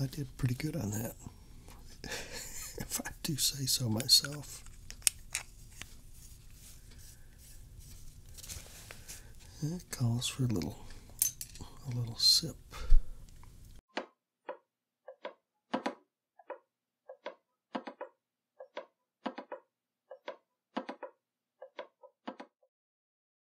I did pretty good on that, if I do say so myself. That calls for a little, a little sip.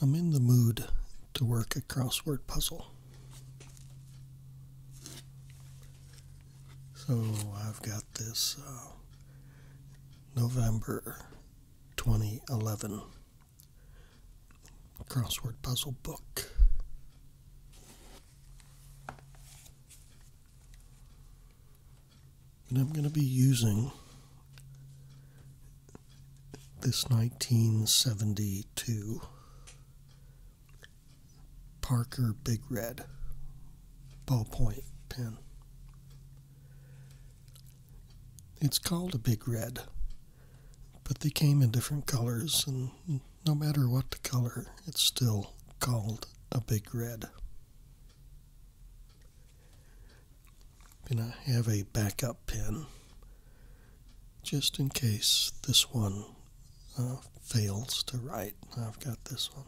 I'm in the mood to work a crossword puzzle. So I've got this uh, November 2011 crossword puzzle book. And I'm going to be using this 1972 Parker Big Red ballpoint pen. It's called a Big Red, but they came in different colors, and no matter what the color, it's still called a Big Red. And I have a backup pen just in case this one uh, fails to write. I've got this one.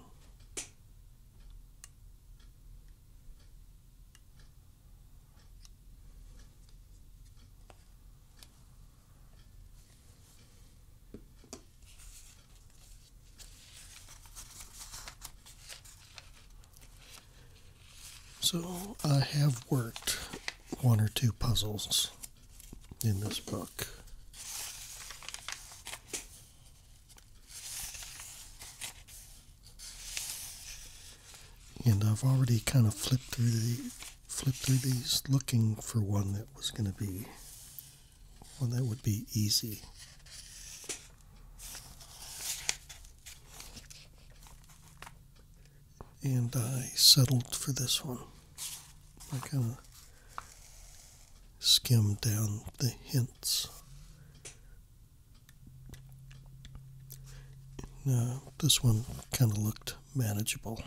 So I have worked one or two puzzles in this book. And I've already kind of flipped through the flipped through these looking for one that was going to be one that would be easy and I settled for this one. I kind of skimmed down the hints. this one kind of looked manageable.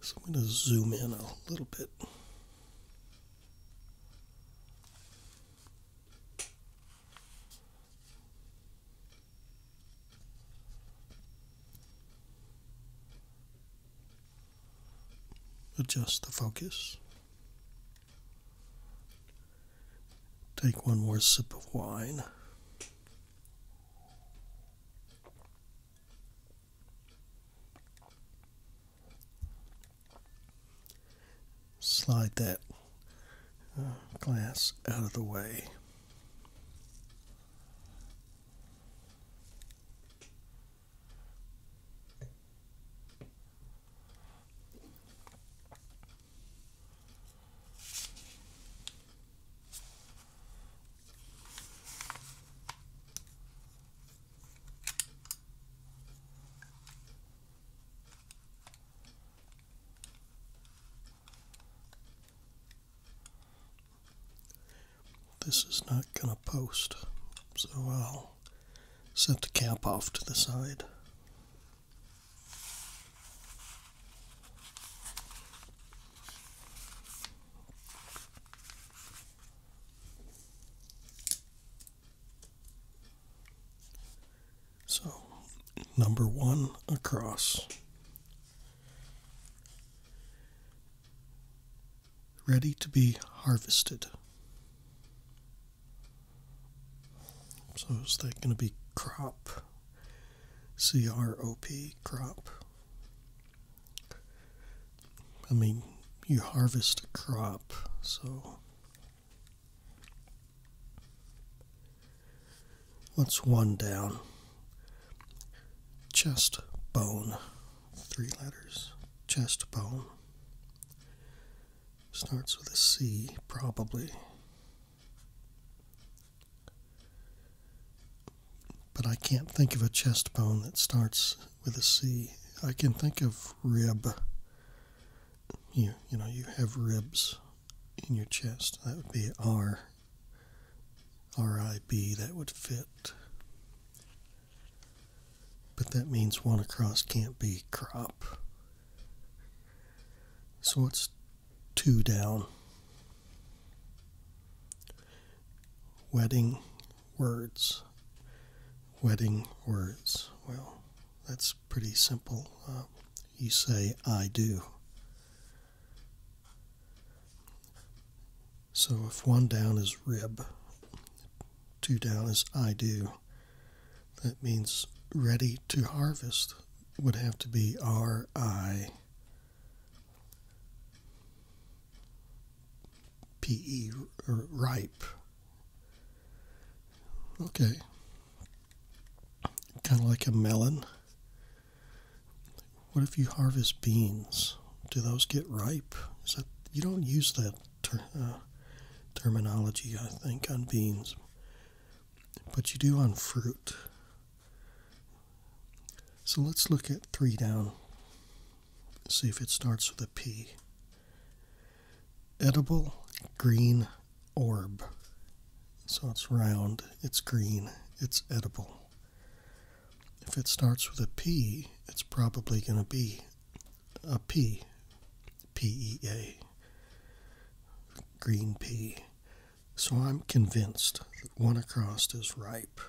So I'm going to zoom in a little bit. Adjust the focus. Take one more sip of wine slide that uh, glass out of the way. This is not going to post, so I'll set the cap off to the side. So, number one across. Ready to be harvested. So, is that going to be crop? C R O P, crop. I mean, you harvest a crop, so What's one down? Chest bone. Three letters. Chest bone. Starts with a C, probably. But I can't think of a chest bone that starts with a C. I can think of rib you you know you have ribs in your chest. That would be R. R I B. That would fit. But that means one across can't be crop. So it's two down. Wedding words. Wedding words. Well, that's pretty simple. Uh, you say, I do. So if one down is rib, two down is I do, that means ready to harvest would have to be R I P E, ripe. Okay. Kind of like a melon. What if you harvest beans? Do those get ripe? you don't use that uh, terminology, I think, on beans, but you do on fruit. So let's look at three down. See if it starts with a. P. Edible green orb. So it's round, it's green, it's edible. If it starts with a P, it's probably going to be a pea, P E A, green pea. So I'm convinced that one across is ripe.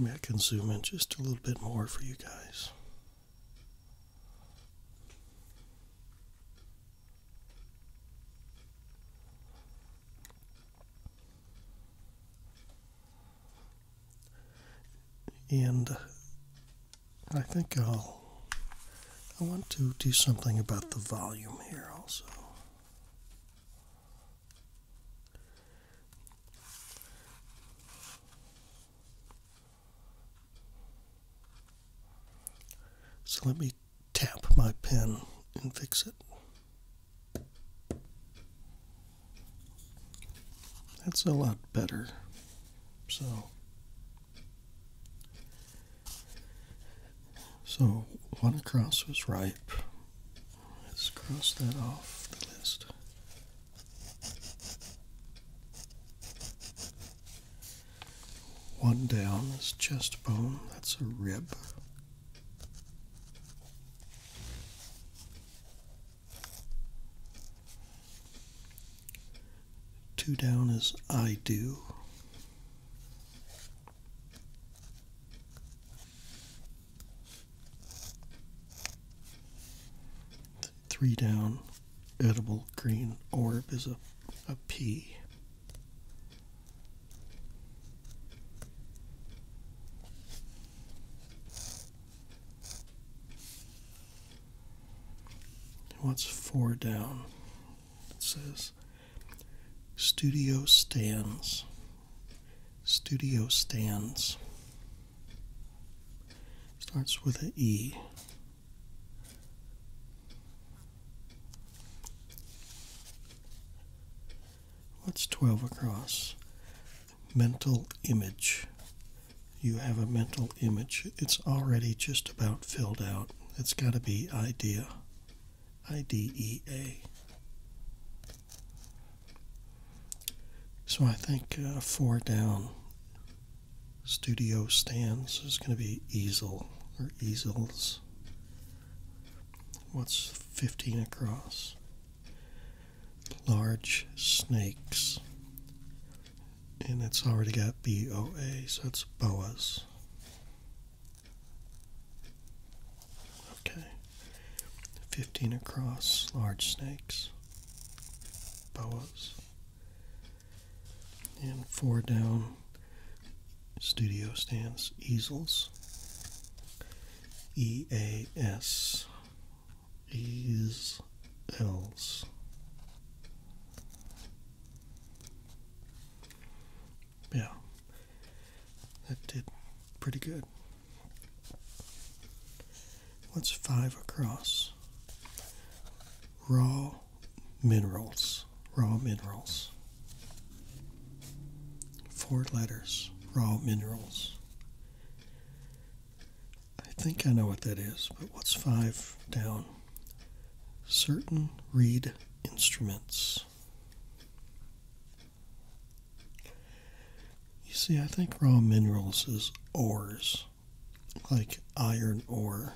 Maybe I can zoom in just a little bit more for you guys. And I think I'll I want to do something about the volume here also. So let me tap my pen and fix it. That's a lot better. So so one across was ripe. Let's cross that off the list. One down is chest bone, that's a rib. Two down is I do. Three down, edible green orb is a, pea. What's four down? It says Studio stands. Studio stands. Starts with an E. What's 12 across? Mental image. You have a mental image. It's already just about filled out. It's got to be idea. IDEA. So I think uh, four down studio stands is going to be easel or easels. What's 15 across? Large snakes. And it's already got BOA, so it's boas. Okay. 15 across, large snakes, boas, and four down, studio stands, easels, E A S, yeah, that did pretty good. What's five across? Raw minerals. Raw minerals. Four letters. Raw minerals. I think I know what that is, but what's five down? certain reed instruments. You see, I think raw minerals is ores, like iron ore.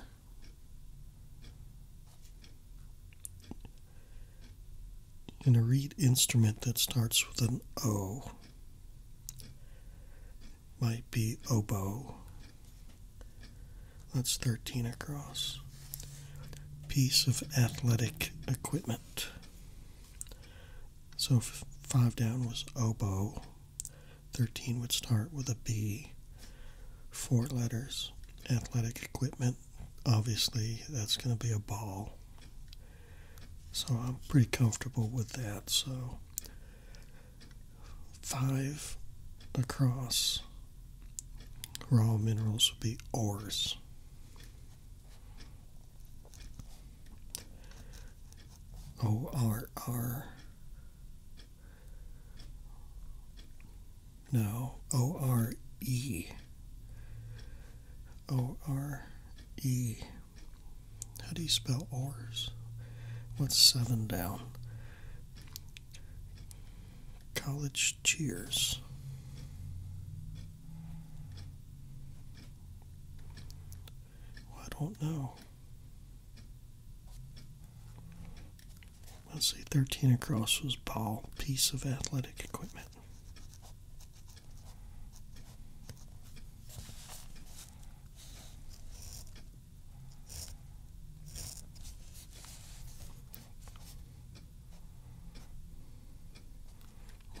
And a reed instrument that starts with an O might be oboe that's 13 across. Piece of athletic equipment. So five down was oboe. 13 would start with a B. Four letters. Athletic equipment. Obviously, that's going to be a ball. So I'm pretty comfortable with that. So five across raw minerals would be ores. O R R. No, O R E. O R E. How do you spell ores? What's seven down? College Cheers. I don't know. Let's see, 13 across was ball, piece of athletic equipment.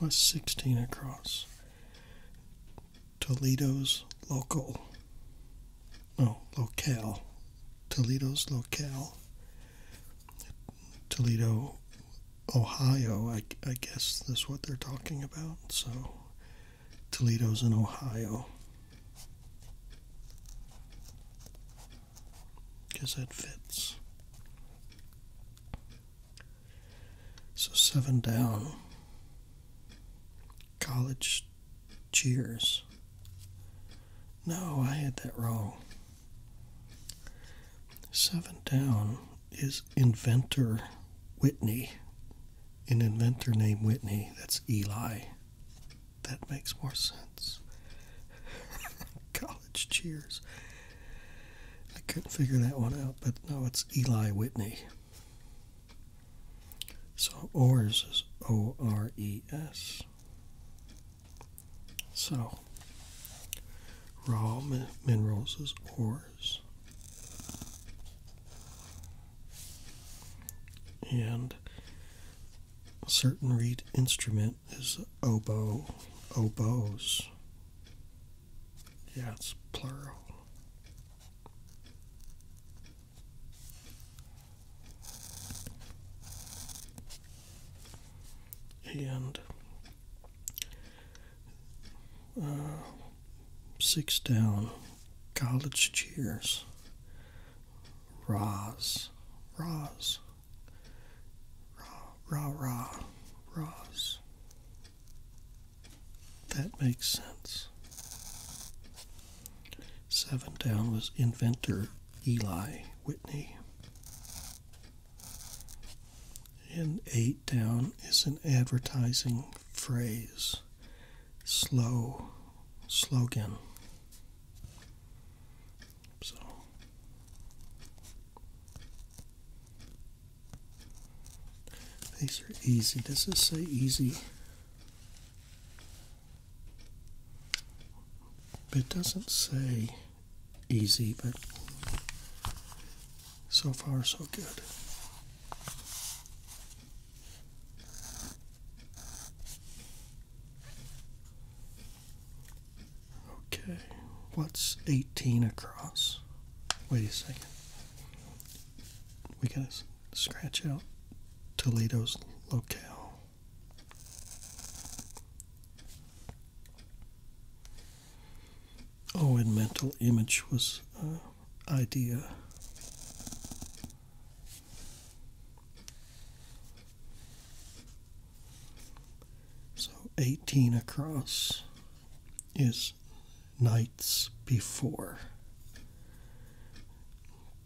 16 across. Toledo's local, no, locale. Toledo's locale. Toledo, Ohio, I, I guess is what they're talking about. So, Toledo's in Ohio because that fits. So seven down. College cheers. No, I had that wrong. Seven down is inventor Whitney, an inventor named Whitney. That's Eli. That makes more sense. College cheers. I couldn't figure that one out, but no, it's Eli Whitney. So Ores is O R E S. So raw minerals is ores. And certain reed instrument is oboe, oboes. Yeah, it's plural. And uh, six down, college cheers. Raz, raz, Ra, rah, rah, raz. That makes sense. Seven down was inventor Eli Whitney. And eight down is an advertising phrase, slow slogan. So these are easy. Does this say easy? It doesn't say easy, but so far so good. Okay, what's 18 across? Wait a second. We gotta scratch out Toledo's locale. Oh, and mental image was uh, idea. So 18 across is nights before.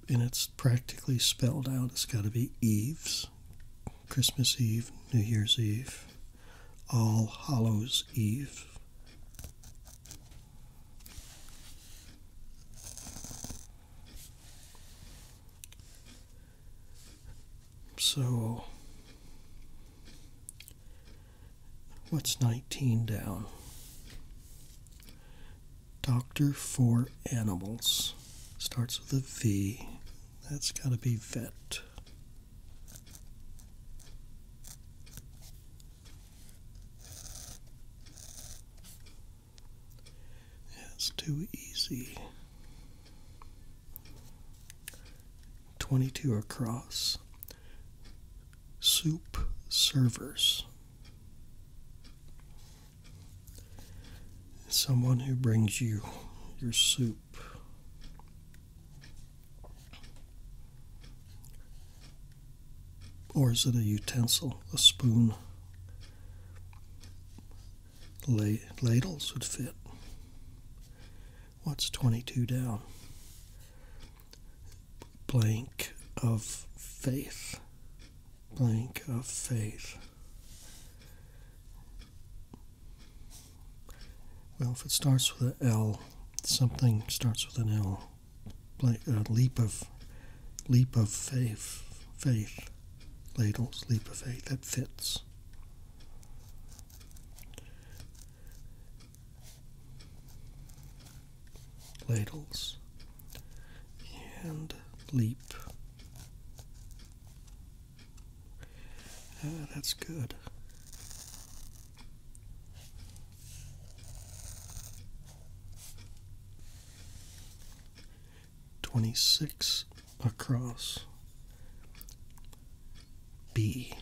And it's practically spelled out. It's got to be Eves, Christmas Eve, New Year's Eve, All Hallows Eve. So, what's 19 down? Doctor for Animals. Starts with a V. That's got to be vet. It's too easy. 22 across. Soup servers. Someone who brings you your soup. Or is it a utensil, a spoon? ladles would fit. What's 22 down? Blank of faith. Blank of faith. Well, if it starts with an L, something starts with an L. Blank, a leap of leap of faith. Faith ladle sleep of faith that fits. Ladles and leap. Ah, that's good. 26 across. B.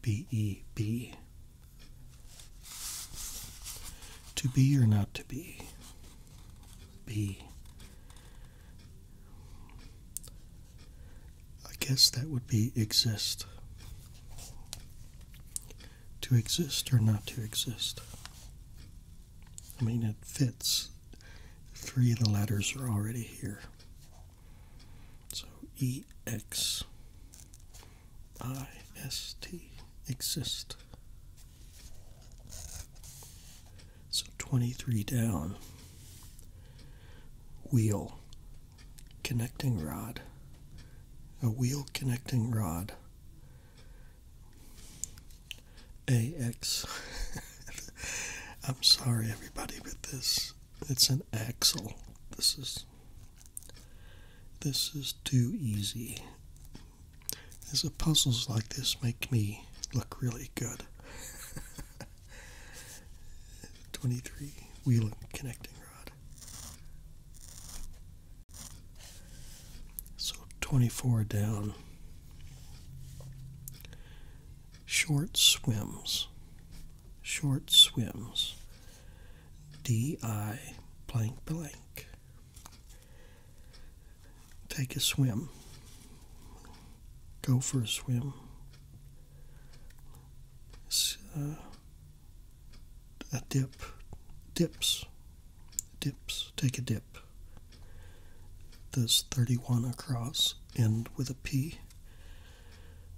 B E B. To be or not to be. B. I guess that would be exist. To exist or not to exist. I mean, it fits. Three of the letters are already here. So E X I S T, exist. So 23 down. Wheel, connecting rod. A wheel connecting rod AX. I'm sorry, everybody, but this it's an axle. This is this is too easy. As puzzles like this make me look really good. 23 wheel connecting rod. So 24 down. Short swims. Short swims. D.I. blank blank. Take a swim. Go for a swim. Uh, a dip. Dips dips, take a dip. This 31 across, end with a P.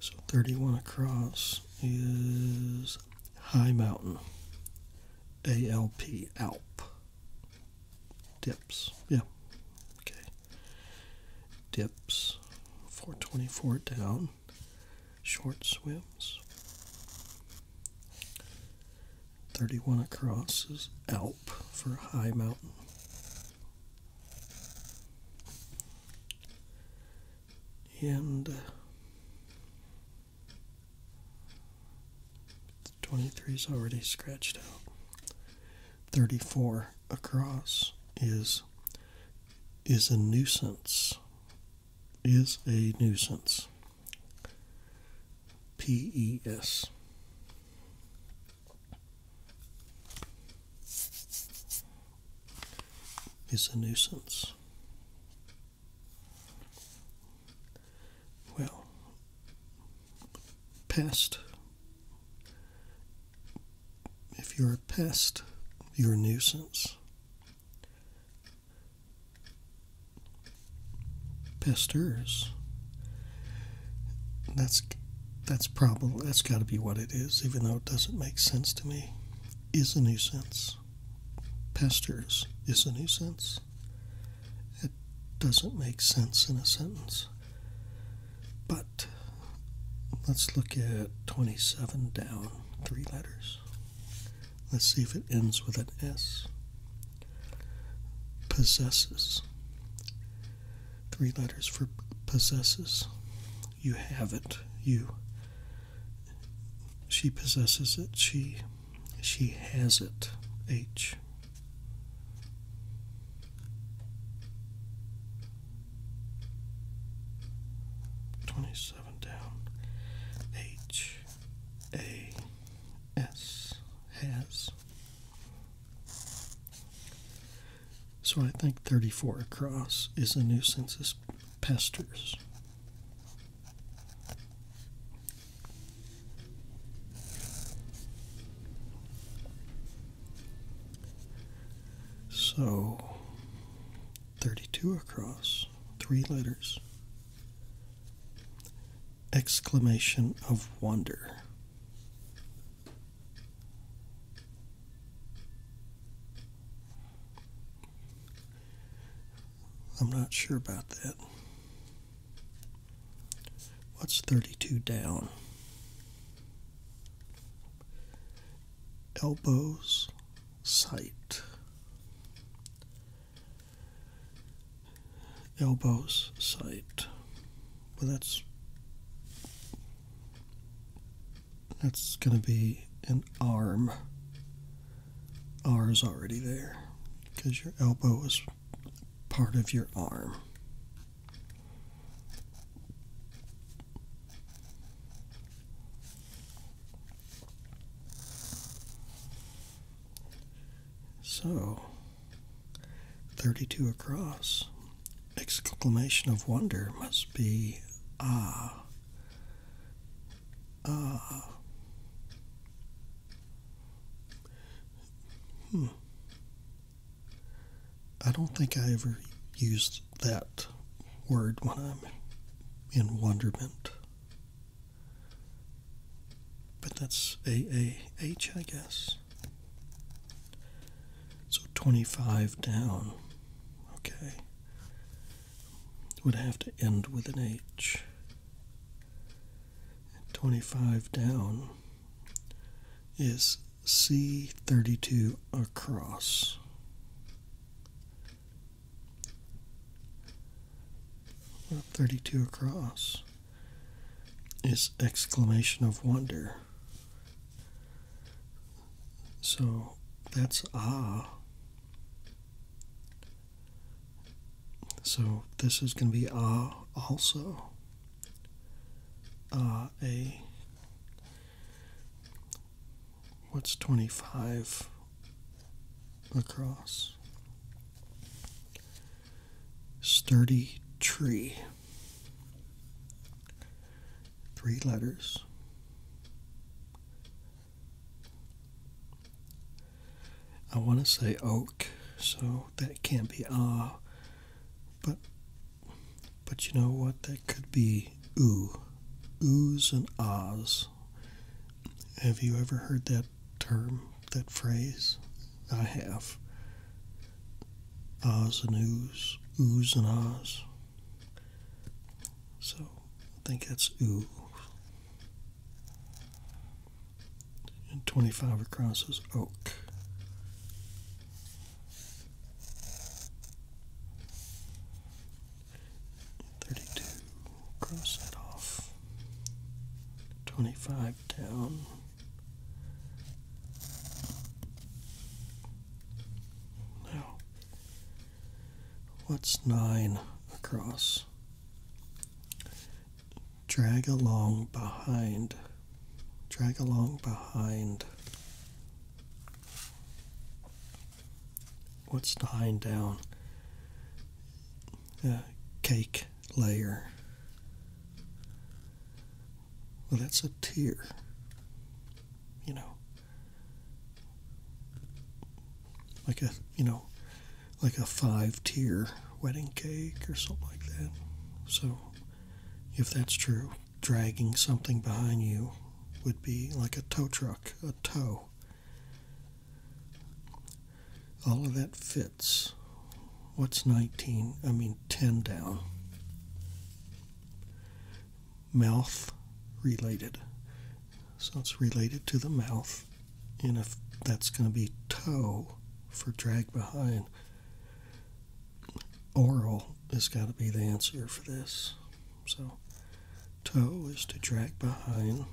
So 31 across is High Mountain, ALP, ALP. Dips, yeah, okay. Dips, 424 down, short swims. 31 across is Alp for high mountain. And uh, 23 is already scratched out. 34 across is is a nuisance. Is a nuisance. PES. Is a nuisance. Well, pest. If you're a pest, you're a nuisance. Pasteurs. That's that's probably that's got to be what it is, even though it doesn't make sense to me. Is a new sense. Pasteurs is a new sense. It doesn't make sense in a sentence. But let's look at 27 down, three letters. Let's see if it ends with an S possesses. Three letters for possesses. You have it. You. She possesses it. She. She has it. H. Twenty-seven down. H. A. S has. So I think 34 across is a nuisance as pesters. So 32 across, three letters exclamation of wonder. I'm not sure about that. What's 32 down? Elbows, sight elbows sight. Well, that's that's gonna be an arm. R is already there because your elbow is part of your arm. So 32 across. Exclamation of wonder must be ah. Ah. Hmm. I don't think I ever used that word when I'm in wonderment. But that's AAH, I guess. So 25 down, okay, would have to end with an H. 25 down is C32 across. 32 across is exclamation of wonder. So that's ah. So this is going to be ah also. Ah, a. What's 25 across? sturdy tree. Three letters. I want to say oak, so that can't be ah, but but you know what? That could be oo, oos and ahs. Have you ever heard that term, that phrase. I have. Ahs and oohs, oohs and ahs. So I think that's ooh. And 25 across is oak. Thirty-two. Cross that off. Twenty-five down. Um, now, what's nine across? Drag along behind. Drag along behind. What's nine down? A uh, cake layer. Well, that's a tier, you know, like a, you know, like a five tier wedding cake or something like that. So, if that's true, dragging something behind you would be like a tow truck, a tow all of that fits. What's 19? I mean, 10 down. Mouth related. So it's related to the mouth. And if that's going to be toe for drag behind, oral has got to be the answer for this. So toe is to drag behind,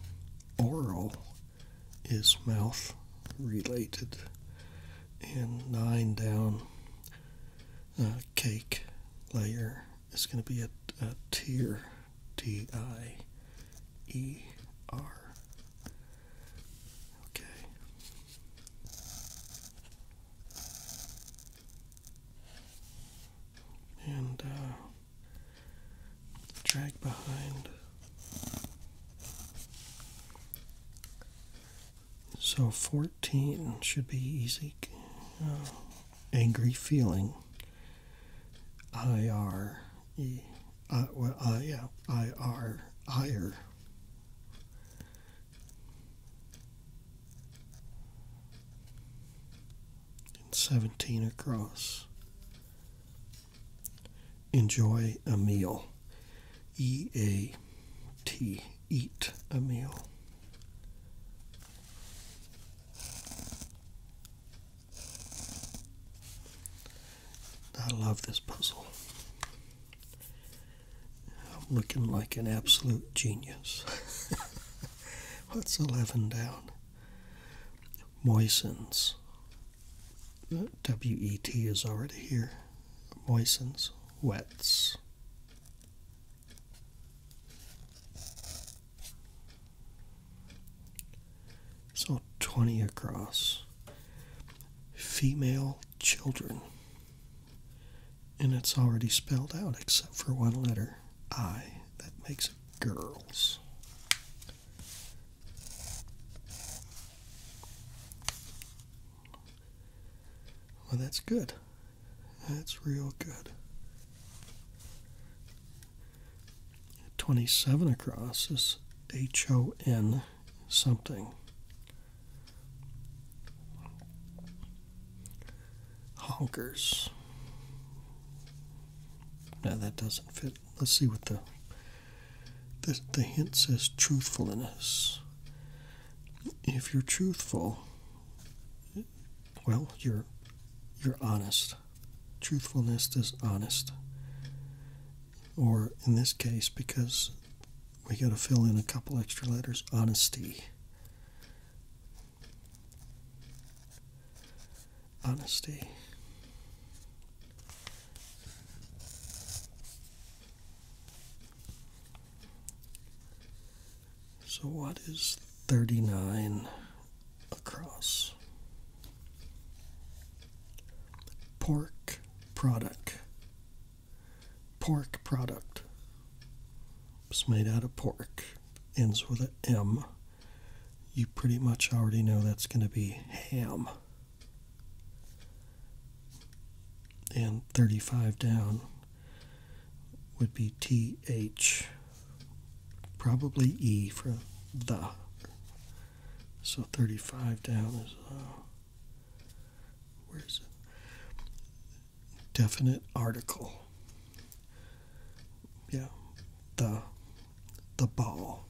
oral is mouth related, and nine down uh, cake layer is going to be a, a tier, T I E R. Okay. And uh, drag behind. So 14 should be easy. Uh, angry feeling. I R E. I, uh, uh, yeah, I R. Ire. And 17 across enjoy a meal. E A T, eat a meal. I love this puzzle. I'm looking like an absolute genius. What's 11 down? Moistens. WET is already here. Moistens, wets. So 20 across. Female children. And it's already spelled out except for one letter I. That makes girls. Well, that's good. That's real good. 27 across is H O N something. Honkers. Now that doesn't fit. Let's see what the the, the hint says truthfulness. If you're truthful, well, you're you're honest. Truthfulness is honest. Or in this case, because we got to fill in a couple extra letters, honesty. Honesty. So, what is 39 across? Pork product. Pork product. It's made out of pork. Ends with a M. You pretty much already know that's going to be ham and 35 down would be TH, probably E for the. So 35 down is, uh, where is it? Definite article. Yeah, the, the ball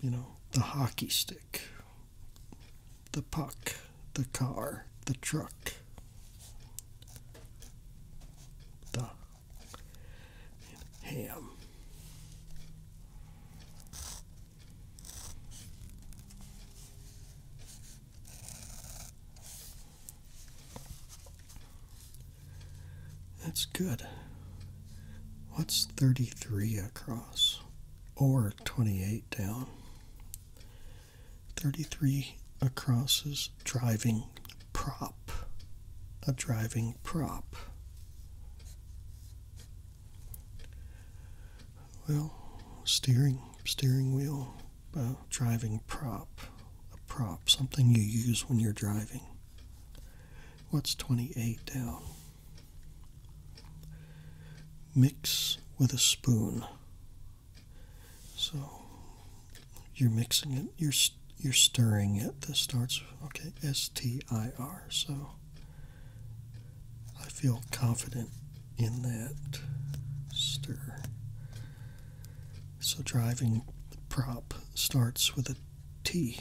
you know, the hockey stick, the puck, the car, the truck, the ham. That's good. What's 33 across? Or 28 down? 33 across is driving prop. A driving prop. Well, steering, steering wheel, uh, driving prop. A prop, something you use when you're driving. What's 28 down? Mix with a spoon. So you're mixing it. You're you're stirring it. This starts okay. S T I R. So I feel confident in that stir. So driving prop starts with a T.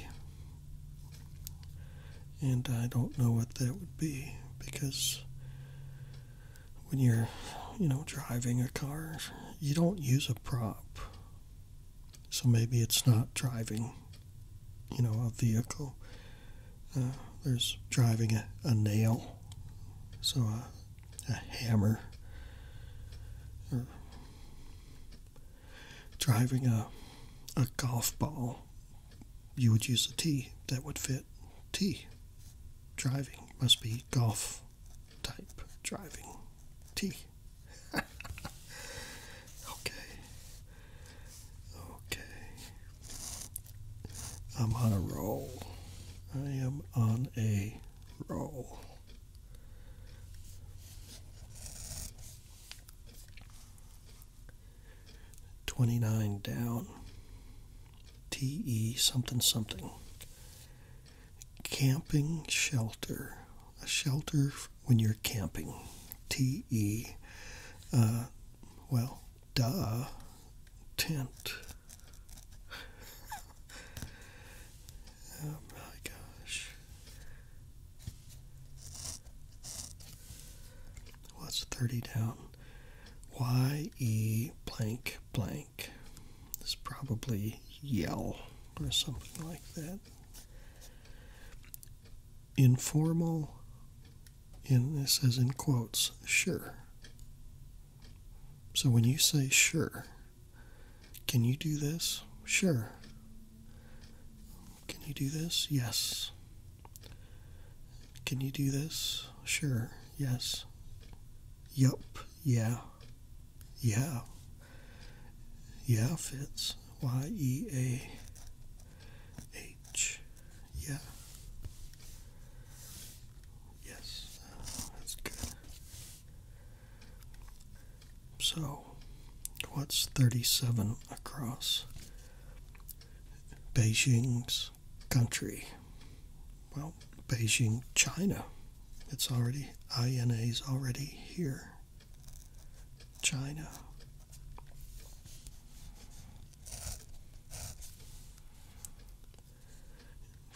And I don't know what that would be because when you're, you know, driving a car, you don't use a prop. So maybe it's not driving, you know, a vehicle. Uh, there's driving a, nail, so a, hammer, driving a a golf ball, you would use a T that would fit T. Driving must be golf type driving tee. okay. Okay. I'm on a roll. I am on a roll. 29 down. TE something something. Camping shelter. A shelter when you're camping. TE. Uh, well, duh. Tent. Oh my gosh. What's 30 down. Y E blank blank. It's probably yell or something like that. Informal, and it says in quotes, sure. So when you say sure, can you do this? Sure. Can you do this? Yes. Can you do this? Sure. Yes. Yup. Yeah. Yeah. Yeah fits. Y E A H. Yeah. Yes. That's good. So, what's 37 across Beijing's country? Well, Beijing, China. It's already, INA's already here. China.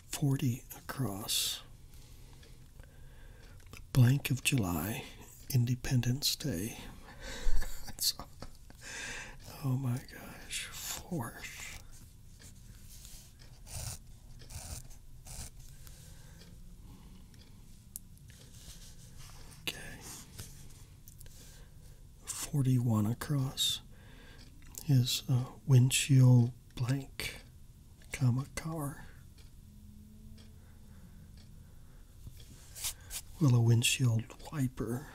Forty across. The blank of July Independence Day. oh my gosh, fourth. Okay. 41 across is uh, windshield blank, comma, car. Well, a windshield wiper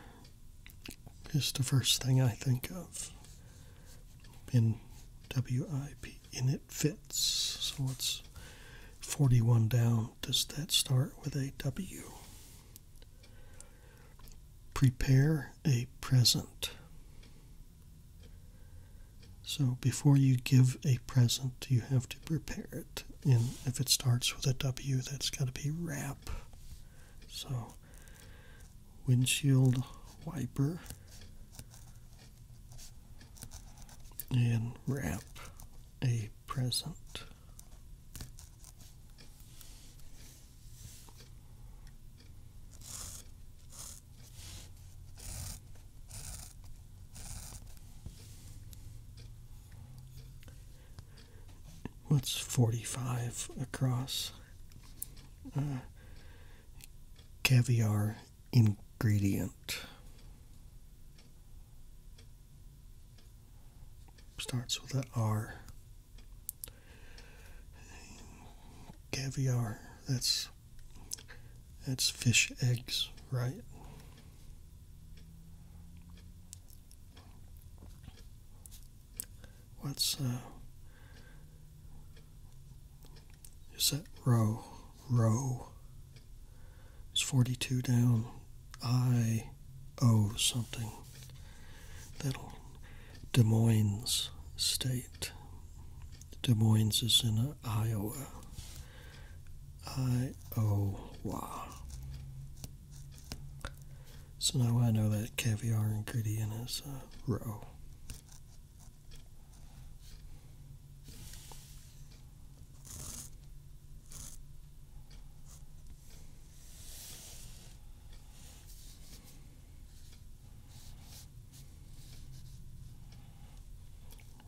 is the first thing I think of. In WIP, and it fits. So it's 41 down. Does that start with a W? Prepare a present. So before you give a present, you have to prepare it. And if it starts with a W, that's got to be wrap. So, windshield wiper and wrap a present what's 45 across uh, caviar ingredient starts with an R caviar that's that's fish eggs right What's uh, is that row? Row It's 42 down. I owe something. That'll Des Moines State. Des Moines is in Iowa. Iowa. So now I know that caviar ingredient is uh, roe.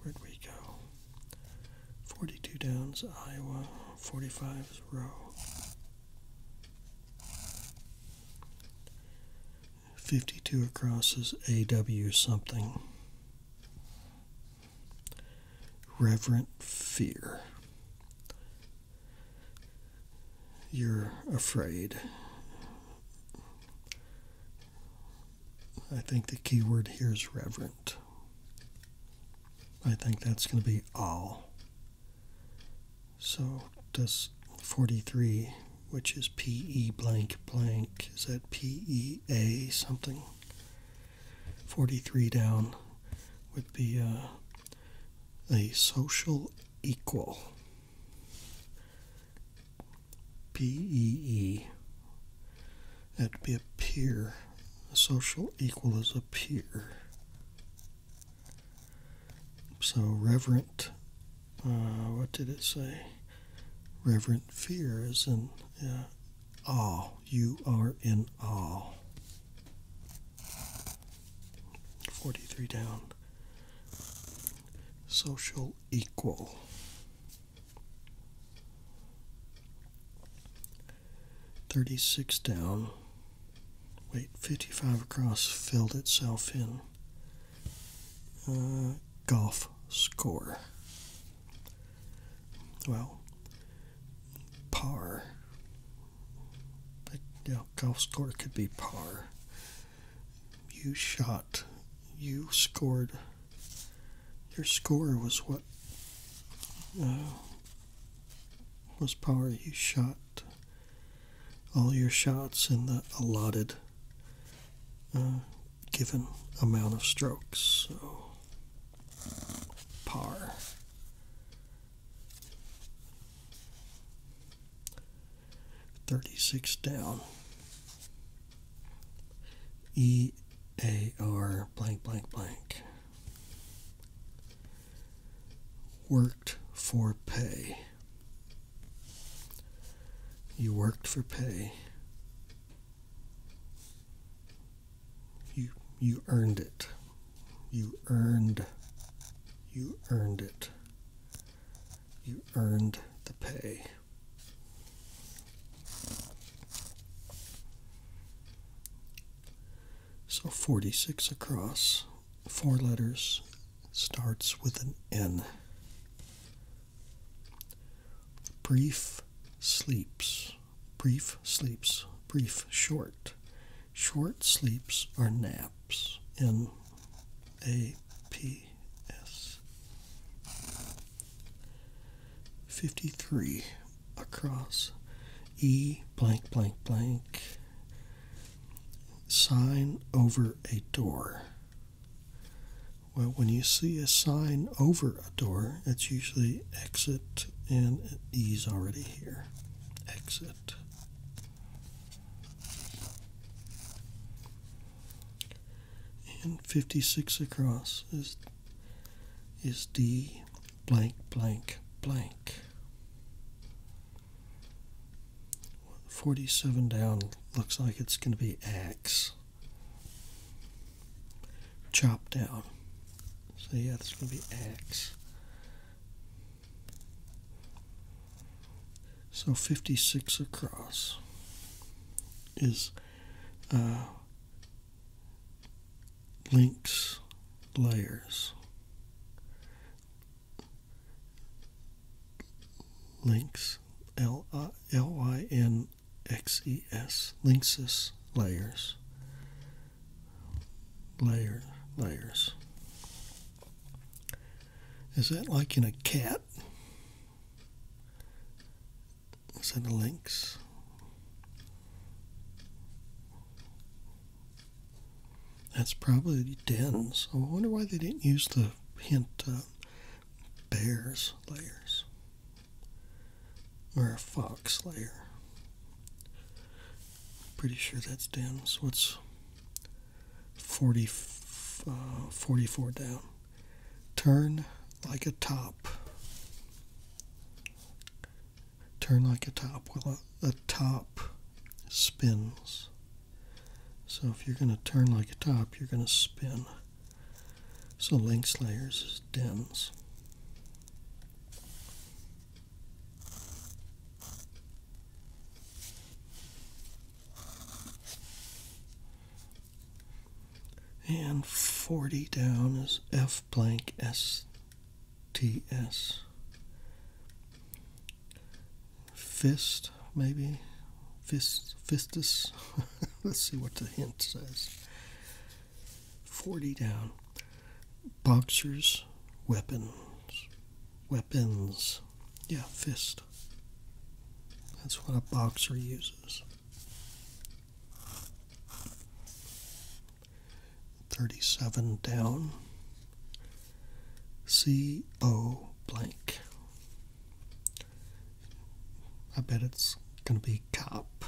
Where'd we go? 42 downs, Iowa, 45's row. 52 across is AW something. Reverent fear. You're afraid. I think the key word here is reverent. I think that's going to be all. So does 43, which is PE blank blank, is that PEA something? 43 down would be uh, a social equal. PEE That'd be a peer. A social equal is a peer. So reverent, uh, what did it say? Reverent fear is in uh, awe. You are in awe. 43 down. Social equal. 36 down, wait, 55 across, filled itself in. Uh, golf score. Well, par. But golf score could be par. You shot, you scored your score was what uh, Was par? you shot all your shots in the allotted uh, given amount of strokes. So par. Thirty six down. E A R blank blank blank. Worked for pay. You worked for pay. You you earned it. You earned you earned it. You earned the pay. So 46 across, four letters, starts with an N. Brief sleeps, brief sleeps, brief short. Short sleeps are naps. N A P S. 53 across E blank blank blank sign over a door. Well, when you see a sign over a door, it's usually exit and E's already here. Exit. And 56 across is is D blank blank blank. 47 down looks like it's going to be axe. Chop down. So yeah, it's going to be axe. So 56 across is uh, links layers links L Y N X E S linksys layers layers is that like in a cat send the links. That's probably dens. I wonder why they didn't use the hint uh, bears layers or a fox layer. Pretty sure that's dens. What's 40, uh, 44 down? Turn like a top turn like a top. Well, a, uh, top spins. So if you're going to turn like a top, you're going to spin. So links layers is And 40 down is F blank S T S fist maybe fist fistus let's see what the hint says 40 down boxers weapons weapons yeah fist that's what a boxer uses 37 down, C O blank. I bet it's going to be cop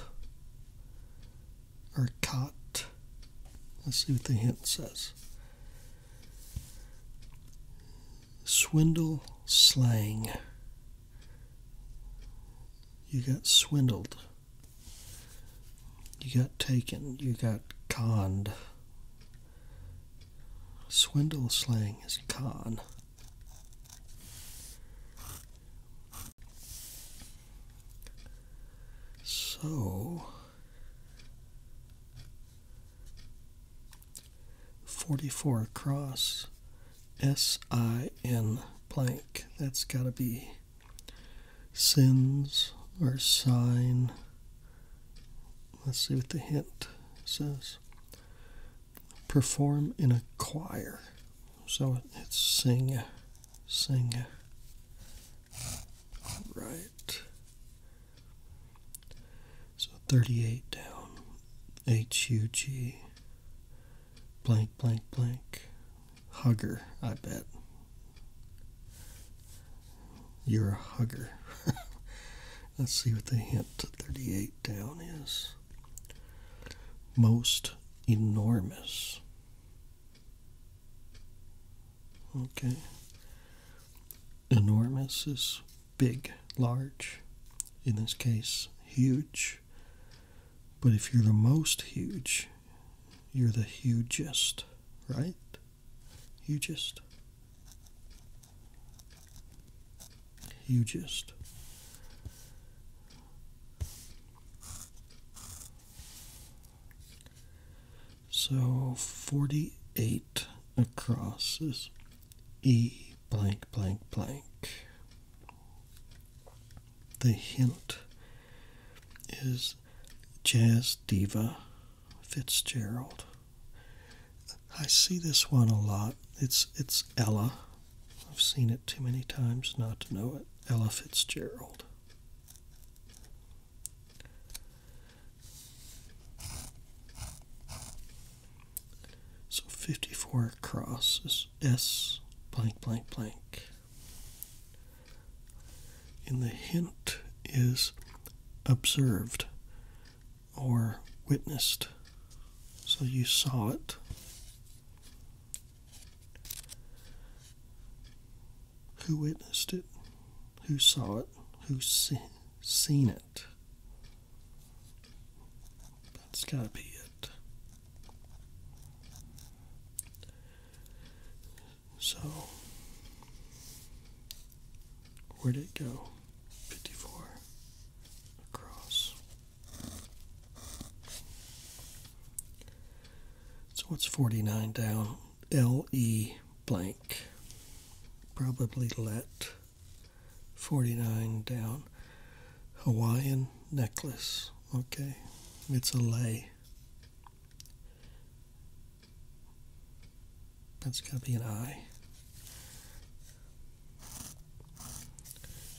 or cot. Let's see what the hint says. Swindle slang. You got swindled. You got taken, you got conned. Swindle slang is con. So, 44 across S I N blank. That's got to be Sins are sign. Let's see what the hint says. Perform in a choir. So it's sing, sing. All right. So 38 down. H U G blank blank blank hugger, I bet. You're a hugger. Let's see what the hint to 38 down is. Most enormous. Okay. Enormous is big, large. In this case, huge. But if you're the most huge, you're the hugest, right? Hugest. Hugest. So 48 across is E blank blank blank. The hint is Jazz Diva Fitzgerald. I see this one a lot. It's it's Ella. I've seen it too many times not to know it. Ella Fitzgerald. So 54 across is S blank blank blank. In the hint is observed or witnessed. So you saw it. Who witnessed it? Who saw it? Who seen it? That's got to be it. So, where'd it go? 54 across. So, what's 49 down? LE blank. Probably let 49 down. Hawaiian necklace. Okay, it's a lay. That's going to be an I.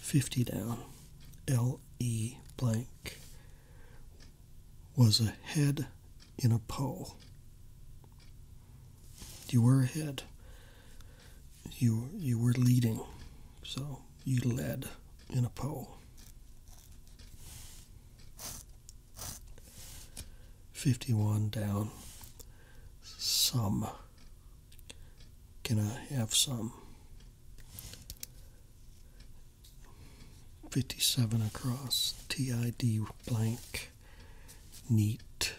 50 down. L.E. blank was a head in a pole. You were ahead. You, you were leading. So you led in a poll. 51 down. Some. Can I have some? 57 across. TID blank. Neat.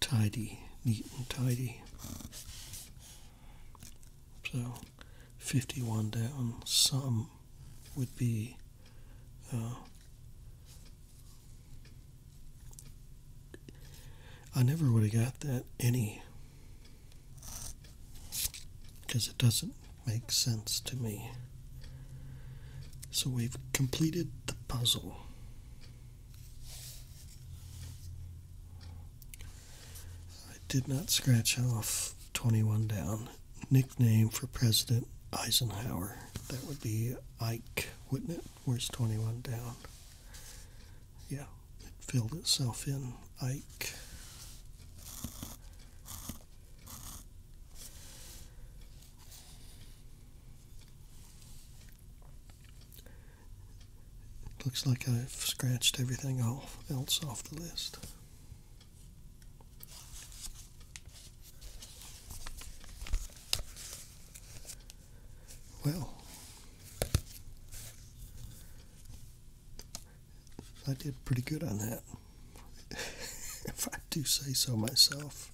Tidy. Neat and tidy. So 51 down, some would be uh, I never would have got that any because it doesn't make sense to me. So we've completed the puzzle. I did not scratch off 21 down. Nickname for President Eisenhower. That would be Ike, wouldn't it? Where's 21 down? Yeah, it filled itself in. Ike. Looks like I've scratched everything else off the list. Well, I did pretty good on that, if I do say so myself.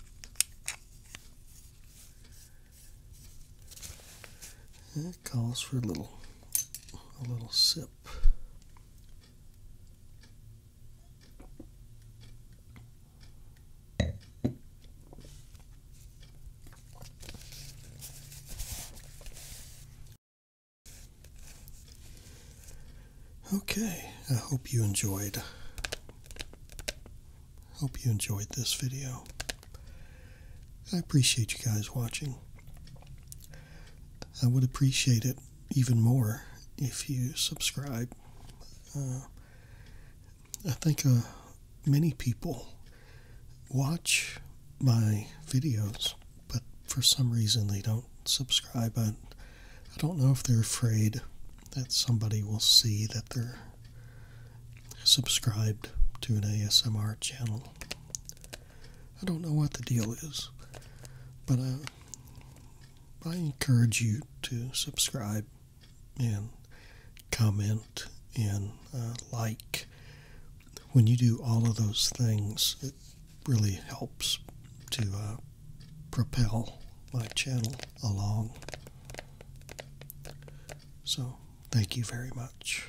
That calls for a little a little sip. Okay, I hope you enjoyed. Hope you enjoyed this video. I appreciate you guys watching. I would appreciate it even more if you subscribe. Uh, I think uh, many people watch my videos, but for some reason they don't subscribe. I, I don't know if they're afraid that somebody will see that they're subscribed to an ASMR channel. I don't know what the deal is, but uh, I encourage you to subscribe and comment and uh, like. When you do all of those things, it really helps to uh, propel my channel along. So, thank you very much.